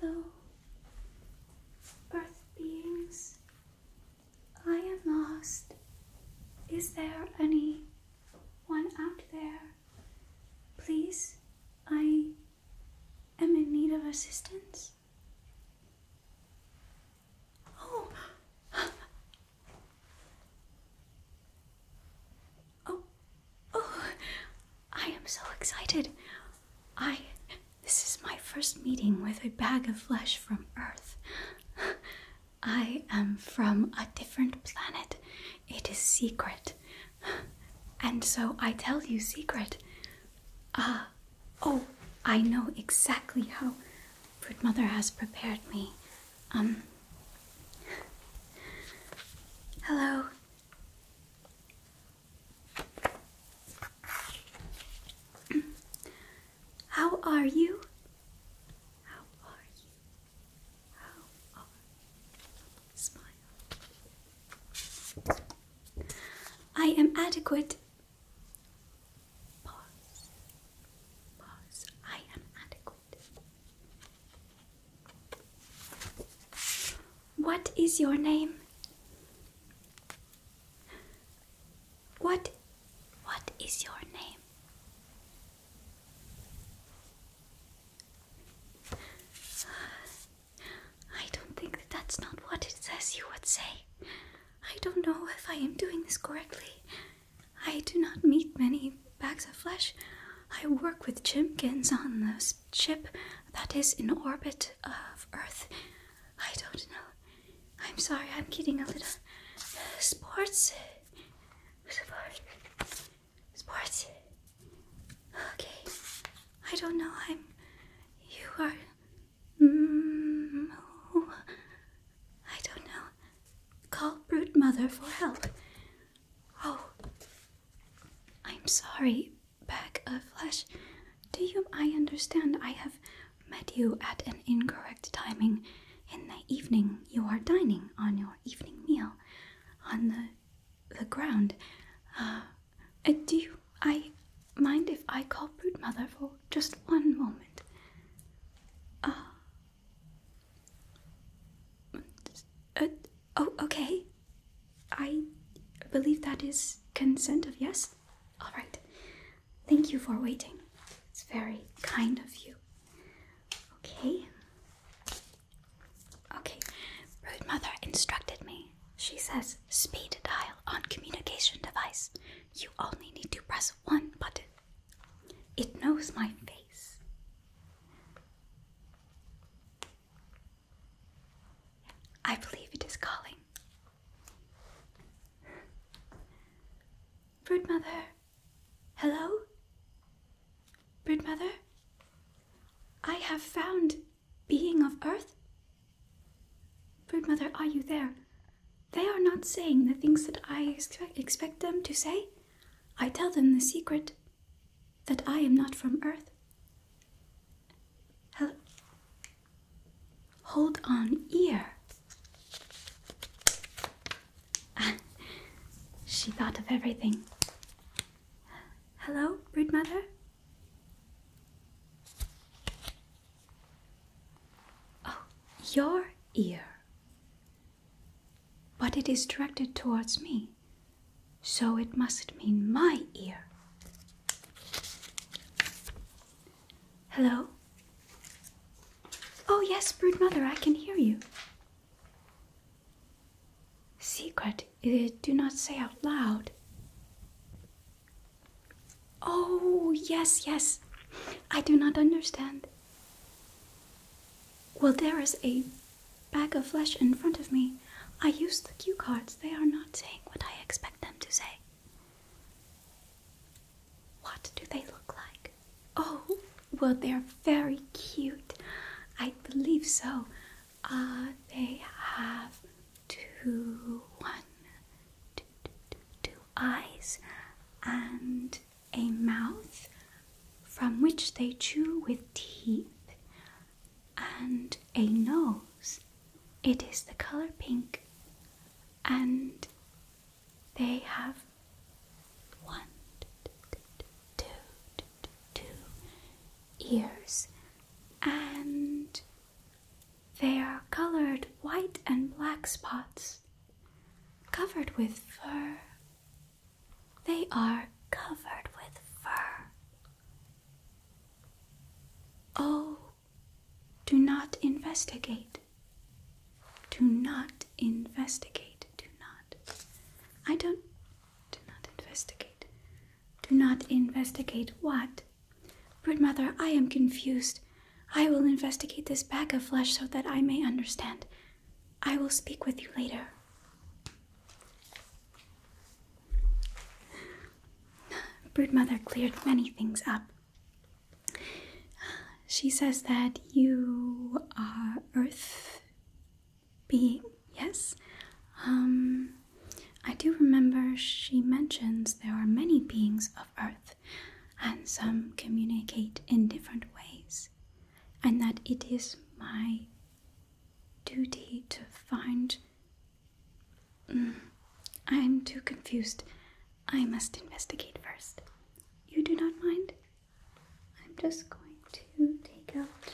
Hello, Earth beings, I am lost. Is there any one out there? Please, I am in need of assistance. Oh. oh. Oh. I am so excited. I this is my first meeting with a bag of flesh from Earth. I am from a different planet. It is secret. And so I tell you secret. Ah, oh, I know exactly how Fruit Mother has prepared me. Um. Hello. How are you? How are you? How are you? Smile. I am adequate. Pause. Pause. I am adequate. What is your name? What what is your name? I don't think that that's not what it says you would say. I don't know if I am doing this correctly. I do not meet many bags of flesh. I work with Jimkins on the ship that is in orbit of Earth. I don't know. I'm sorry, I'm getting a little uh, sports Sport. Sports. Okay. I don't know. I'm. You are. Mm, I don't know. Call Brute Mother for help. Oh. I'm sorry, Back of Flesh. Do you. I understand. I have met you at an incorrect timing in the evening. You are dining on your evening meal on the the ground. Uh, do I mind if I call Brute Mother for just one moment? Uh, uh, oh, okay. I believe that is consent of yes. All right. Thank you for waiting. It's very kind of you. Okay. Okay. Root Mother instructed me. She says speed dial on communication device. You only need to press one button. It knows my face. I believe it is calling. Broodmother, Hello? Birdmother? I have found being of earth? Birdmother, are you there? They are not saying the things that I expect, expect them to say. I tell them the secret that I am not from earth. Hold on, ear. she thought of everything. Hello, broodmother? Oh, your ear. But it is directed towards me, so it must mean my ear. Hello? Oh, yes, brood mother, I can hear you. Secret, eh, do not say out loud. Oh, yes, yes. I do not understand. Well, there is a bag of flesh in front of me. I use the cue cards. They are not saying what I expect them to say. What do they look like? Oh, well, they're very cute. I believe so. Uh, they have two, one, two, two eyes and a mouth from which they chew with teeth and a nose. It is the color pink and they have one, two, two, two ears, and they are colored white and black spots, covered with fur. They are covered with fur. Oh, do not investigate. Do not investigate. Do not. I don't. Do not investigate. Do not investigate what? mother? I am confused. I will investigate this bag of flesh so that I may understand. I will speak with you later. Brood mother cleared many things up. She says that you are Earth being, yes? Um, I do remember she mentions there are many beings of Earth, and some communicate in different ways, and that it is my duty to find. Mm, I'm too confused. I must investigate first. You do not mind? I'm just going to take out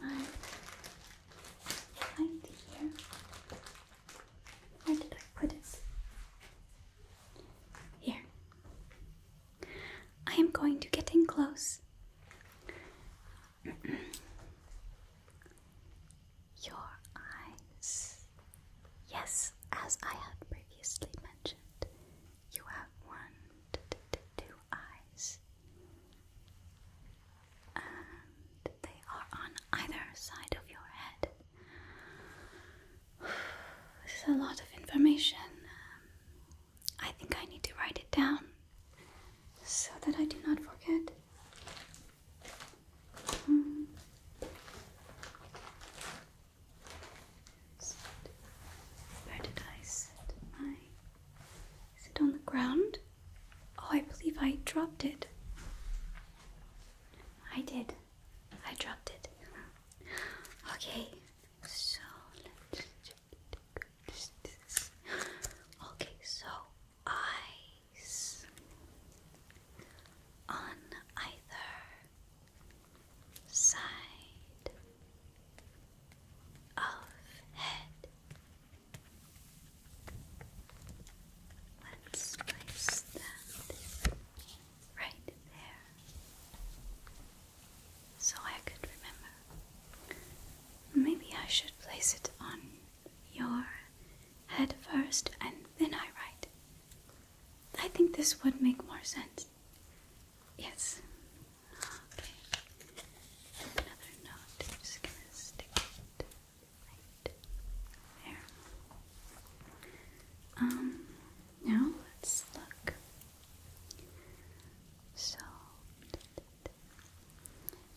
my light here. Where did I put it? Here. I am going to get in close. Your eyes. Yes, as I had previously mentioned, you have one, two eyes, and they are on either side of your head. This is a lot of information. Um, I think I need to write it down so that I do not forget where did I set my? Is it on the ground? Oh, I believe I dropped it. I did. I dropped it. Okay, so Okay, so I on either side of head. Let's place that right there so I could remember. Maybe I should place it on your head first and then I write. I think this would make more sense. Yes. Okay. Another knot. just gonna stick it right there. Um. Now let's look. So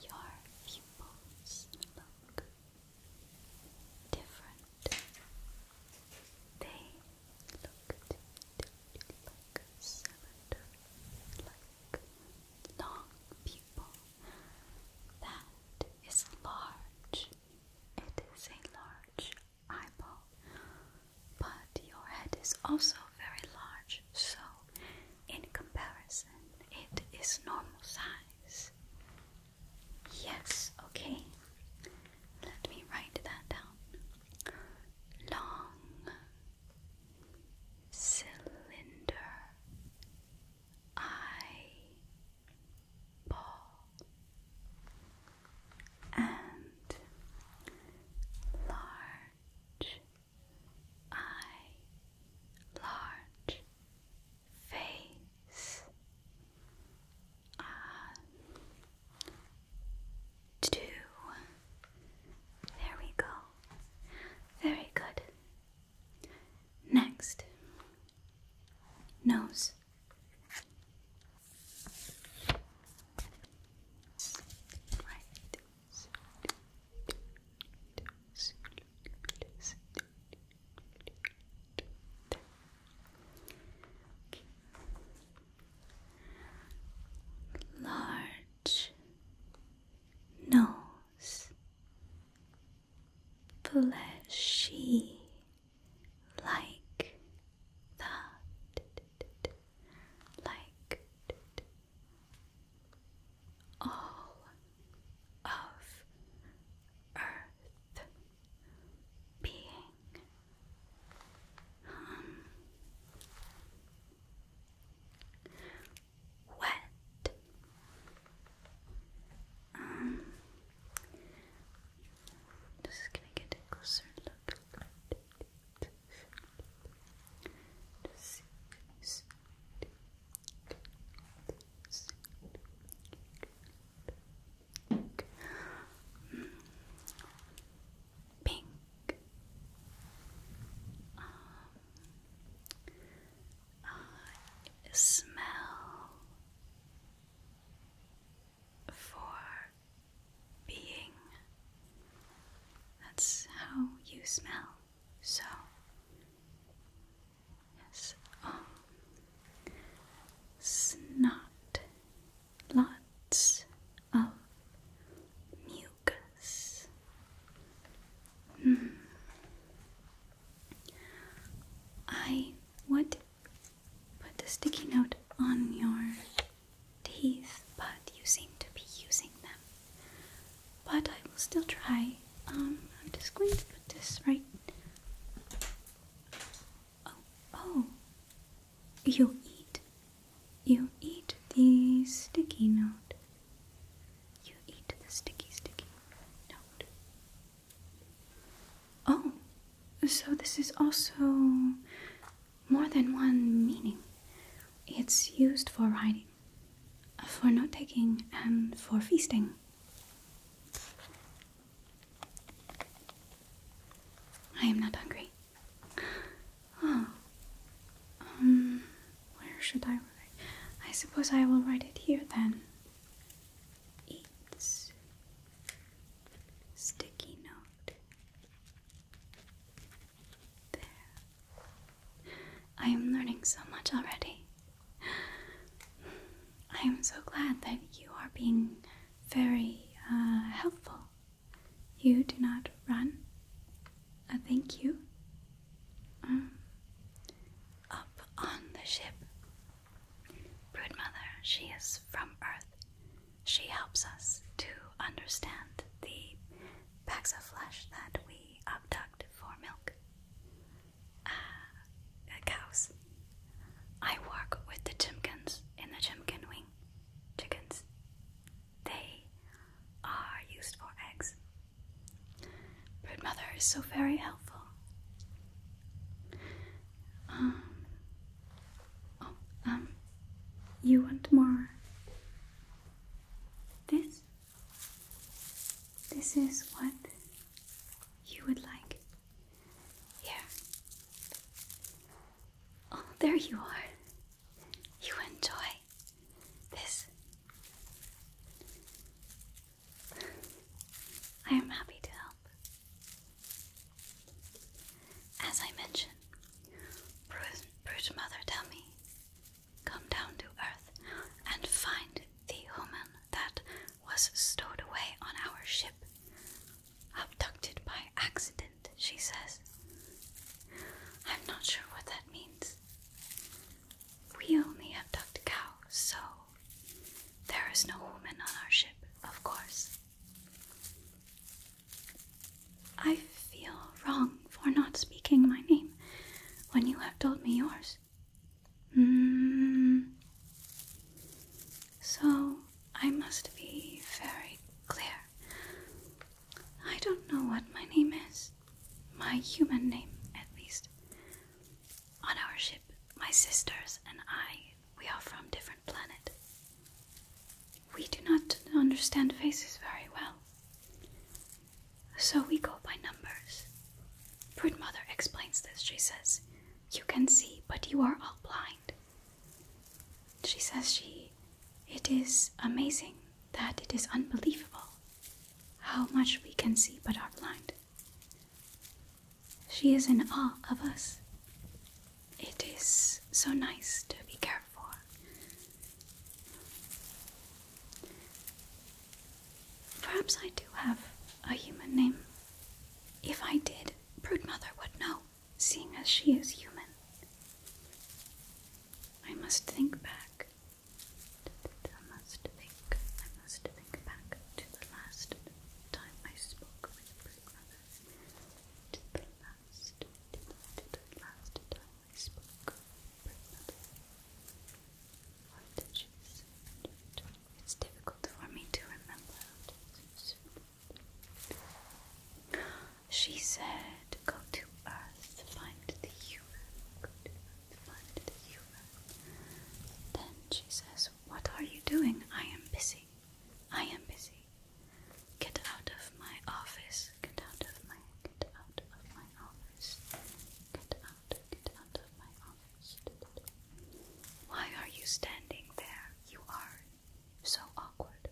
your pupils look different. They looked like cylinder, like long people. That is large. It is a large eyeball, but your head is also very large, so in comparison, it is normal size. Yes, okay. Let me write that down. Long cylinder eye ball and large eye large face uh, two. There we go. Very good. Next, nose. Right. Just Large nose, fleshy like that, like all of earth being um, wet um, just gonna get a closer look just, just, just, Pink. Um, smell for being. That's how you smell. So Yes. Oh. Um, Snot. Lots of mucus. Mm. I would put a sticky note on your teeth, but you seem to be using them. But I will still try. Um, I'm just going to put this right Oh, oh, you eat. You eat the sticky note. You eat the sticky, sticky note. Oh, so this is also more than one meaning. It's used for writing, for note taking, and for feasting. I am not hungry. Oh. Um, where should I write? I suppose I will write it here then. Eats sticky note. There. I am learning so much already. I am so glad that you are being very uh, helpful. You do not run. Uh, thank you. Um, up on the ship. Broodmother, she is from Earth. She helps us to understand the bags of flesh that we abduct for milk. Uh, cows. I work with the chimkins in the chimkin wing. Chickens. They are used for eggs. Bird mother is so very helpful. Um, oh, um, you want more? This? This is what you would like. Here. Oh, there you are. You enjoy this. I am happy to help. As I mentioned, Brute, Mother tell me, come down to earth and find the human that was stowed away on our ship. Abducted by accident, she says. I'm not sure what that means. We only abduct cows, so there is no woman on our ship, of course. I feel wrong for not speaking my name when you have told me yours. Hmm. So I must be very clear. I don't know what my name is. My human name, at least. On our ship, my sisters and I, we are from different planet. We do not understand faces very well. So we go by numbers. Broodmother explains this. She says, you can see, but you are all blind. She says she it is amazing that it is unbelievable how much we can see but are blind. She is in awe of us. It is so nice to be cared for. Perhaps I do have a human name. If I did, Mother would know, seeing as she is human. I must think back. I must think. I must think back to the last time I spoke with Broodmother. To the last, to the, last time I spoke with Broodmother. What did she say? It's difficult for me to remember. She said, Go to Earth, find the human. find the human. Then she says, What are you doing? I am busy. I am busy. Get out of my office. Get out of my get out of my office. Get why are you standing there? You are so awkward.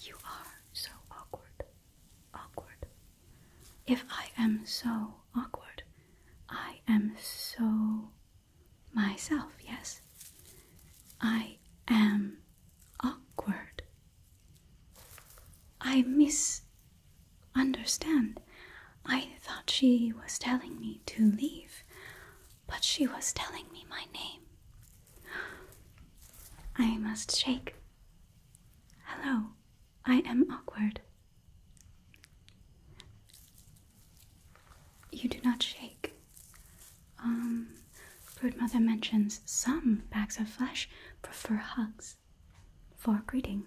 You are so awkward. Awkward. If I am so awkward, I am so myself, yes? I am awkward. I miss understand. I thought she was telling me to leave, but she was telling me my name. I must shake. Hello, I am awkward. You do not shake. Um, Brood Mother mentions some bags of flesh prefer hugs for greeting.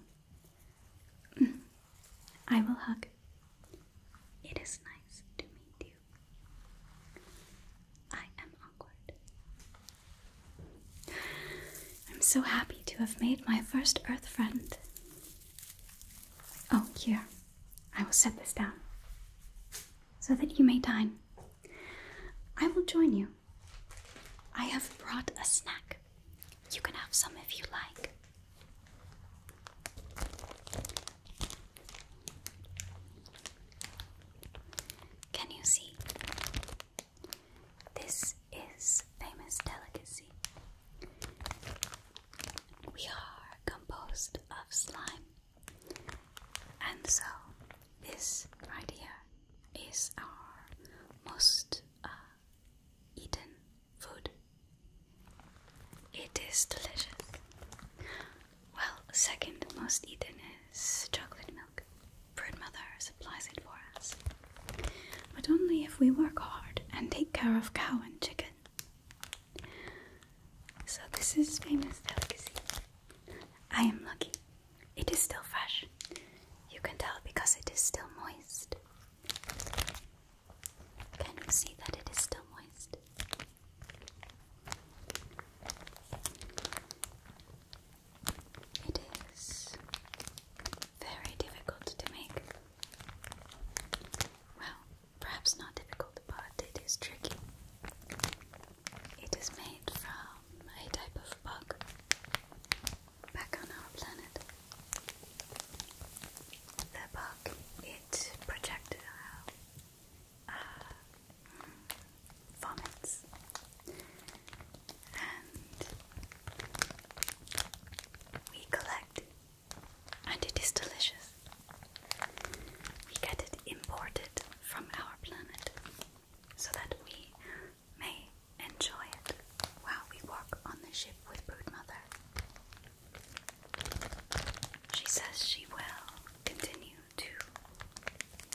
I will hug. It is nice to meet you. I am awkward. I'm so happy to have made my first earth friend. Oh, here. I will set this down so that you may dine. I will join you. I have brought a snack. You can have some if you like. Can you see? This is famous delicacy. We are composed of slime, and so this right here is our most uh, eaten food. It is delicious. Well, second most eaten is chocolate milk. Broodmother supplies it for us. But only if we work hard and take care of cow and chicken. So this is famous delicacy. I am lucky. It is still fresh. You can tell because it is still moist. Can you see that it is still moist? It is very difficult to make. Well, perhaps not difficult, but it is tricky. It is made from a type of bug back on our planet. The bug, it projectile uh, and we collect and it is delicious. We get it imported from our planet so that we may enjoy it while we walk on the ship with Brood Mother. She says she will continue to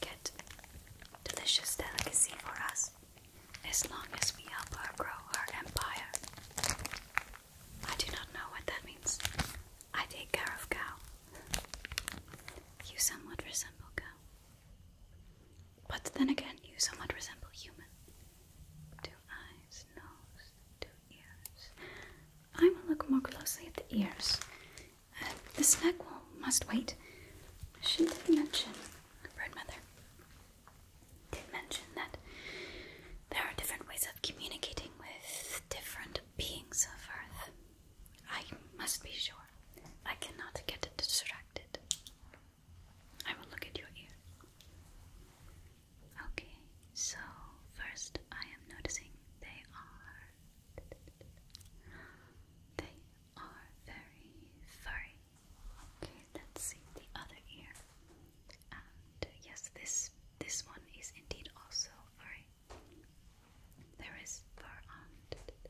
get delicious delicacy for us as long as we help her grow her empire. I do not know what that means. I take care of cow. You somewhat resemble cow. But then again, you somewhat resemble human. Two eyes, nose, two ears. I will look more closely at the ears. Uh, the snake will must wait. She did mention, Birdmother did mention that there are different ways of communicating with different beings of Earth. I must be sure. I cannot get distracted. I will look at your ear. Okay, so first I am noticing they are they are very furry. Okay, let's see the other ear. And yes, this this one is indeed also furry. There is fur on both.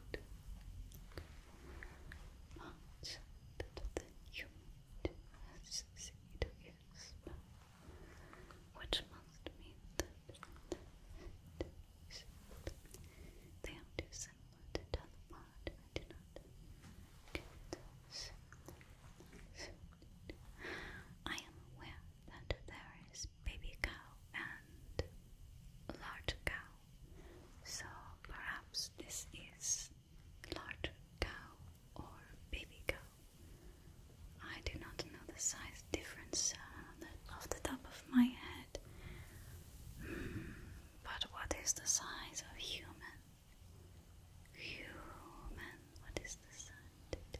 much that the unit has serious which must mean that they are too to tell apart. do not I am aware that there is baby cow and large cow. So perhaps this is large cow or baby cow. I do not know the size difference uh, off the top of my head. Hmm, but what is the size of human? Human. What is the size?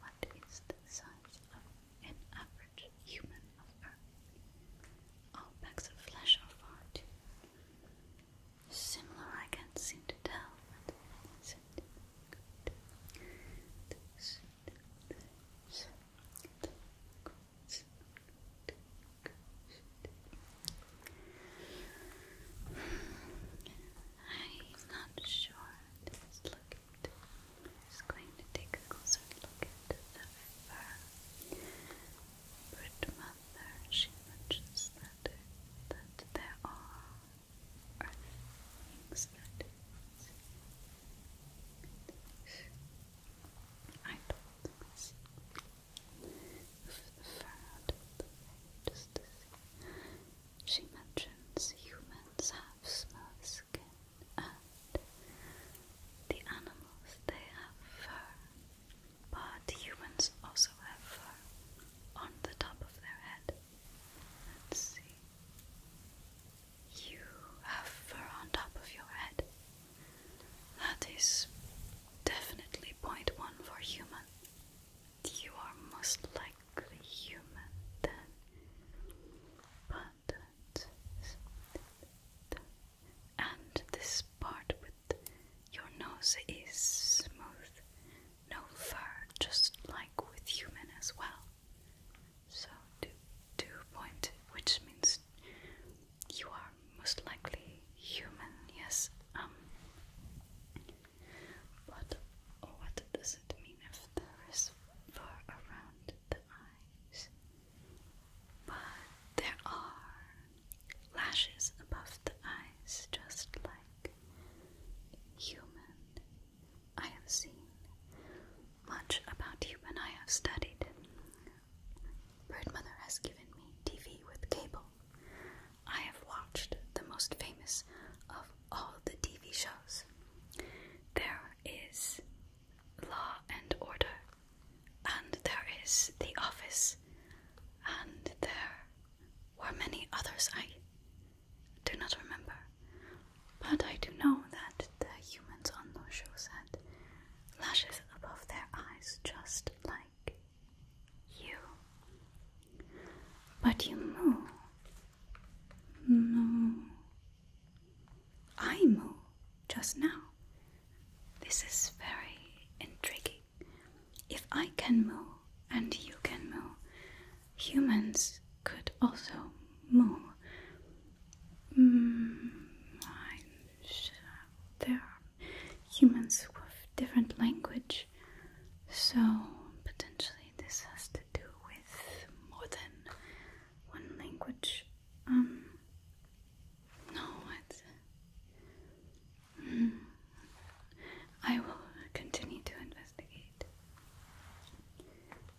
What is the size of an apple? human of Earth. All packs of flesh are far too similar. I can't seem to tell I'm not sure Perfect. going to take a closer look at the river. But mother, she mentions that that there are things that is. I told myself just to see. She mentions humans have smooth skin and the animals they have fur, but humans also have fur on the top of their head. Let's see. You have fur on top of your head. That is definitely point one for human. You are most likely human then. But and this part with your nose is smooth, no fur, just like with human as well. So two, two point, which means you are most likely human. Yes. Um. But what does it mean if there is fur around the eye? but there are lashes above the eyes, just like human. I have seen much about human, I have studied. Birdmother has given me TV with cable. I have watched the most famous of all the TV shows. There is law and order, and there is the office, and there were many others I do not remember. But I do know that the humans on those shows had lashes above their eyes, just like you. But you move. Move. I Aimu just now. This is very intriguing. If I can move and you can move, humans could also move. Mm, there are humans with different language, so potentially this has to do with more than one language. Um, no, it's. Mm, I will continue to investigate.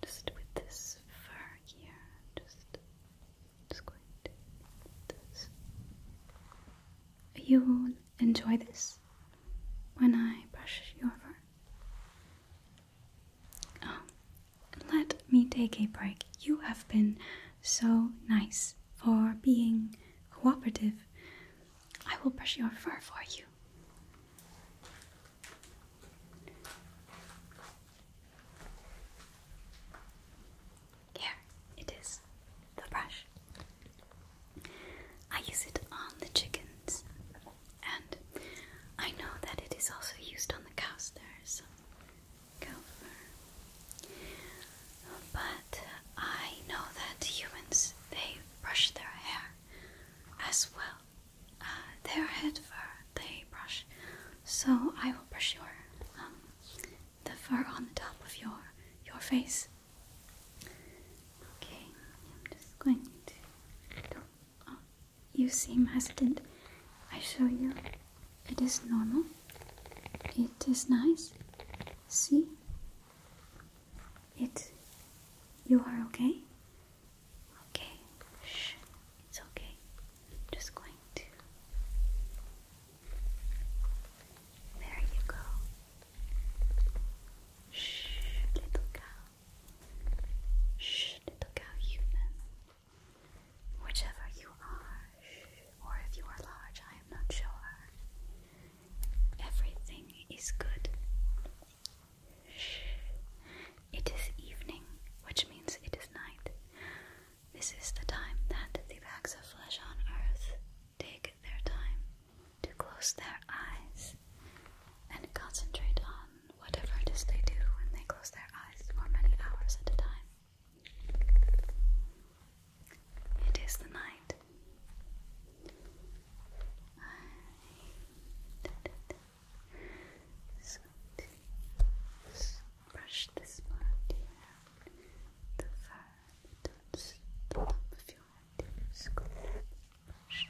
Just with this fur here, just, just going to You enjoy this when I brush your fur? Oh, let me take a break. You have been so nice for being cooperative. I will brush your fur for you. Here it is, the brush. I use it on the chickens. And I know that it is also used on the cow stairs. Cow fur. But I know that humans they brush their hair as well. Uh, their head fur they brush. So I will brush your um, the fur on the top of your your face. Okay, I'm just going to do Oh, you seem hesitant. I show you. It is normal. It is nice. See? It. You are okay? Okay. Shh. It's okay. I'm just going to. There you go. Shh, little cow. Shh, little cow human. Whichever you are, or if you are large, I am not sure. Everything is good. It is evening, which means it is night. This is the time that the bags of flesh on earth take their time to close their eyes and concentrate on whatever it is they do when they close their eyes for many hours at a time. It is the night. I so brush this part the fur that touches the top of your head. Just brush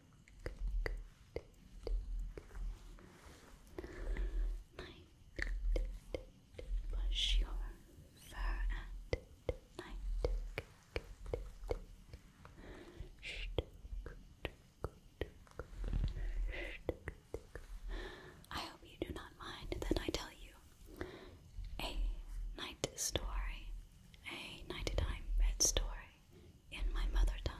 Night. Brush your fur at night. I hope you do not mind that I tell you a night story, a nighttime bed story in my mother tongue.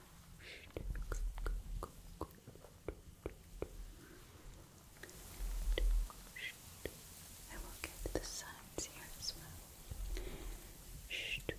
I will get the sides here as well. Good.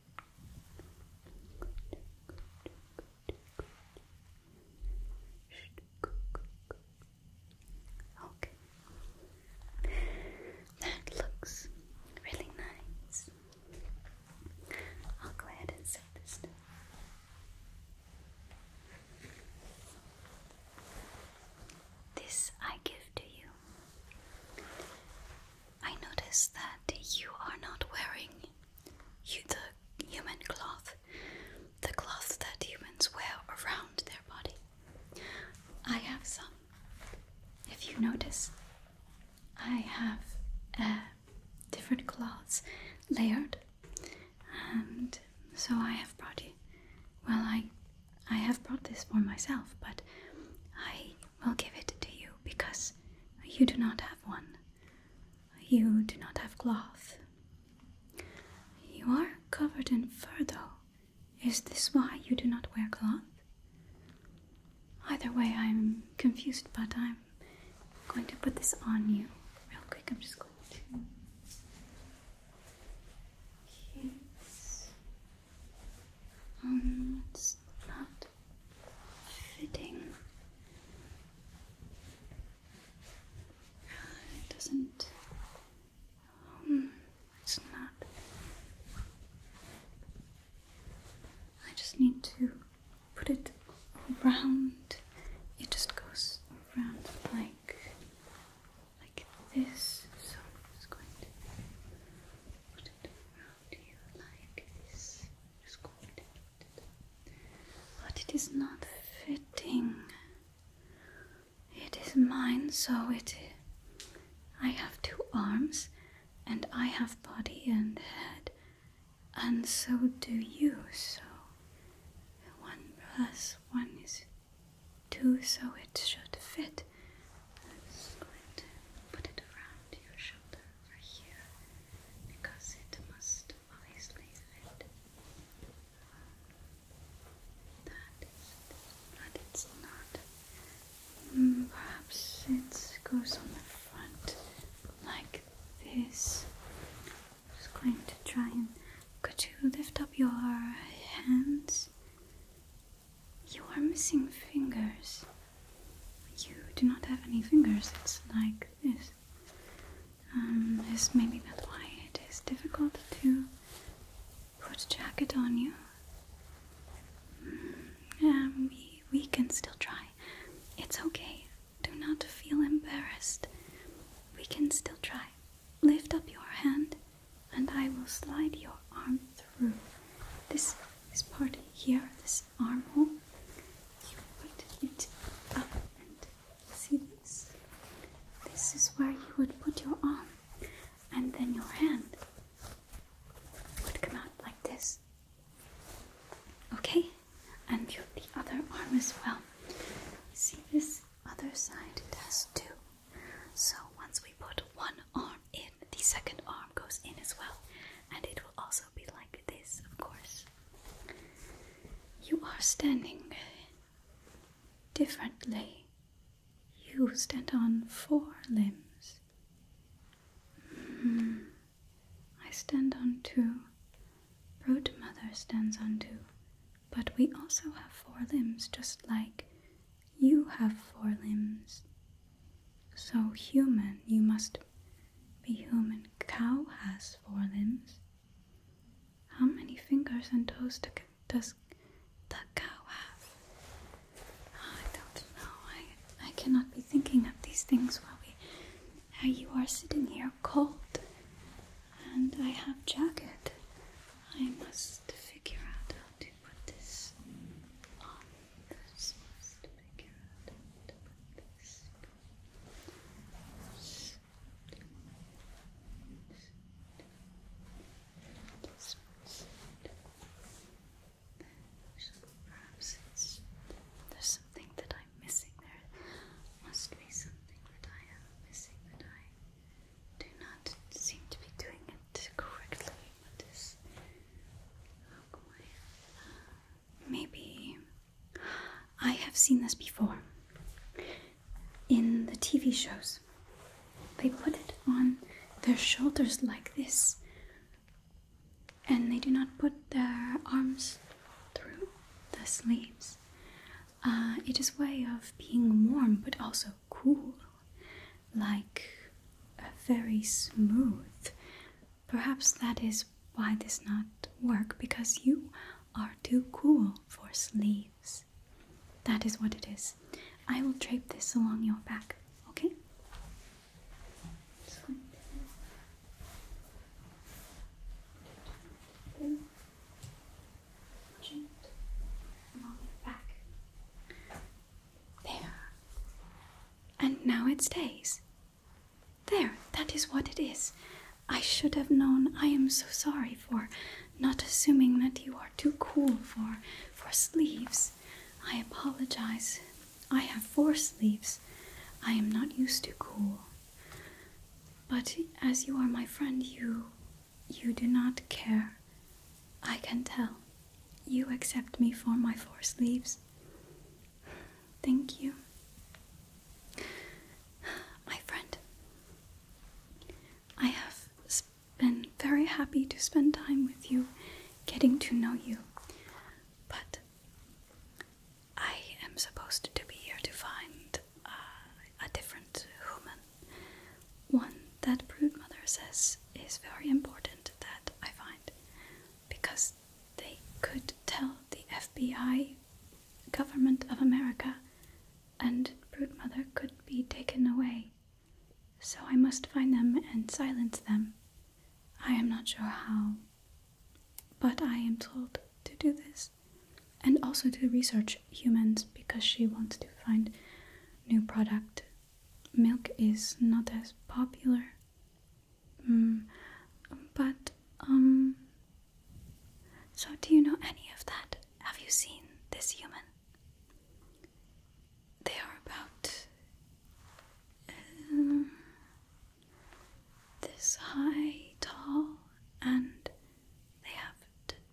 Okay. That looks really nice. I'll go ahead and set this down. This I give to you I notice that you are not wearing the human cloth, the cloth that humans wear around their body. I have some. If you notice, I have uh, different cloths layered, and so I have brought you. Well, I, I have brought this for myself, but I i will give it to you because you do not have one. You do not have cloth. You are covered in fur, though. Is this why you do not wear cloth? Either way, I'm confused, but I'm going to put this on you real quick. I'm just going to fitting. It doesn't. Um, it's not. I just need to put it around. It just goes around like like this. So I'm just going to put it around here like this. But it is not fitting. It is mine, so it is. I have two arms, and I have body and head, and so do you. So one plus one is two, so it should fit. put it around your shoulder for you because it must obviously fit. That is, but it's not. Mm, perhaps it goes on the front like this. I'm just going to try and. Could you lift up your hands? You are missing fingers. You do not have any fingers, it's like this. Um, maybe that's why it is difficult to put jacket on you. Um, we, we can still try. It's okay. Do not feel embarrassed. We can still try. Lift up your hand and I will slide your arm through. This, this part here, this this armhole, you put it up and see this? This is where you would put your arm, and then your hand would come out like this. Okay, and you the other arm as well. See this other side, it has two. So once we put one arm the second arm goes in as well, and it will also be like this, of course. You are standing differently. You stand on four limbs. Hmm. I stand on two. Root Mother stands on two. But we also have four limbs, just like you have four limbs. So, human, you must the human cow has four limbs. How many fingers and toes does the cow have? I don't know. I, I cannot be thinking of these things while we. Uh, you are sitting here cold, and I have jacket. I must figure out how to put this on. This there's something that I'm missing. There must be something that I am missing that I do not seem to be doing it correctly. Maybe. I have seen this before. In the TV shows, they put it on their shoulders like this, and they do not put their arms through the sleeves. Uh, it is way of being warm but also cool, like a very smooth Perhaps that is why this not work because you are too cool for sleeves. That is what it is. I will drape this along your back, okay? There and now it stays. There, that is what it is. I should have known. I am so sorry for not assuming that you are too cool for for sleeves. I apologize. I have four sleeves. I am not used to cool. But as you are my friend, you you do not care. I can tell. You accept me for my four sleeves. Thank you. My friend, I have been very happy to spend time with you, getting to know you, but I am supposed to be here to find uh, a different human. One that Mother says is very important that I find, because they could tell the FBI, government of America, and Brood Mother could be taken away. So I must find them and silence them. I am not sure how, but I am told to do this. And also to research humans because she wants to find new product. Milk is not as popular Mm, but, um. So, do you know any of that? Have you seen this human? They are about. Um, this high, tall, and they have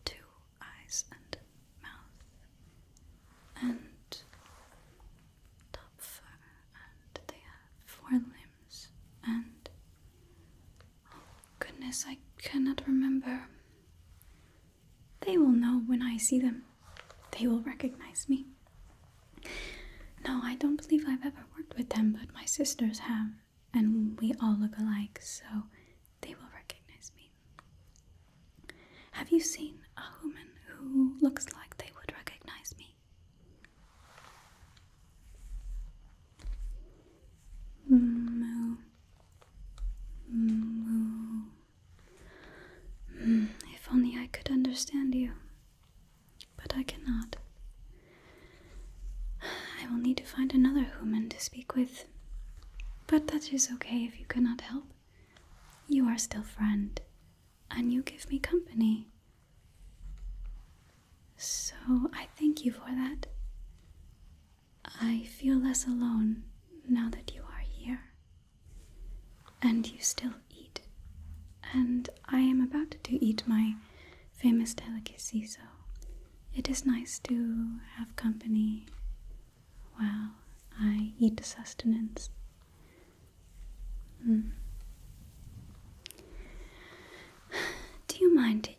two eyes and mouth and top fur, and they have four limbs. And oh goodness, I cannot remember. They will know when I see them. They will recognize me. No, I don't believe I've ever worked with them, but my sisters have, and we all look alike, so they will recognize me. Have you seen a human who looks like they would recognize me? Moo. Mm, Moo. If only I could understand you, but I cannot. I will need to find another human to speak with. But that is okay if you cannot help. You are still friend, and you give me company. So I thank you for that. I feel less alone now that you are here. And you still eat. And I am about to eat my famous delicacy, so it is nice to have company while I eat the sustenance. Hmm. Do you mind?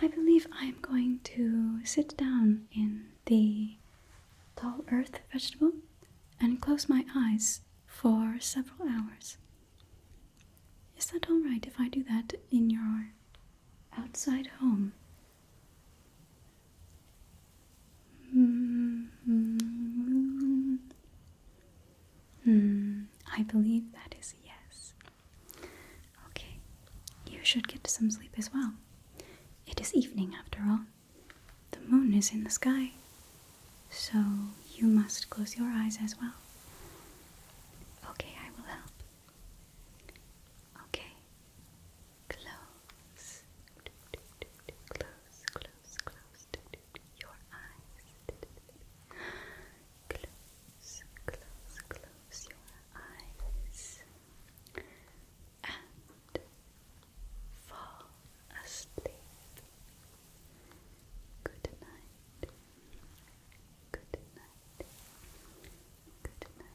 I believe I am going to sit down in the tall earth vegetable and close my eyes for several hours. Is that alright if I do that in your outside home? Mm -hmm. mm, I believe that is yes. Okay, you should get some sleep as well. It is evening after all. The moon is in the sky, so you must close your eyes as well. Okay, I will help. Okay, close, close, close, close, close your eyes. Close, close, close your eyes. And fall asleep. Good night. Good night. Good night. Good night.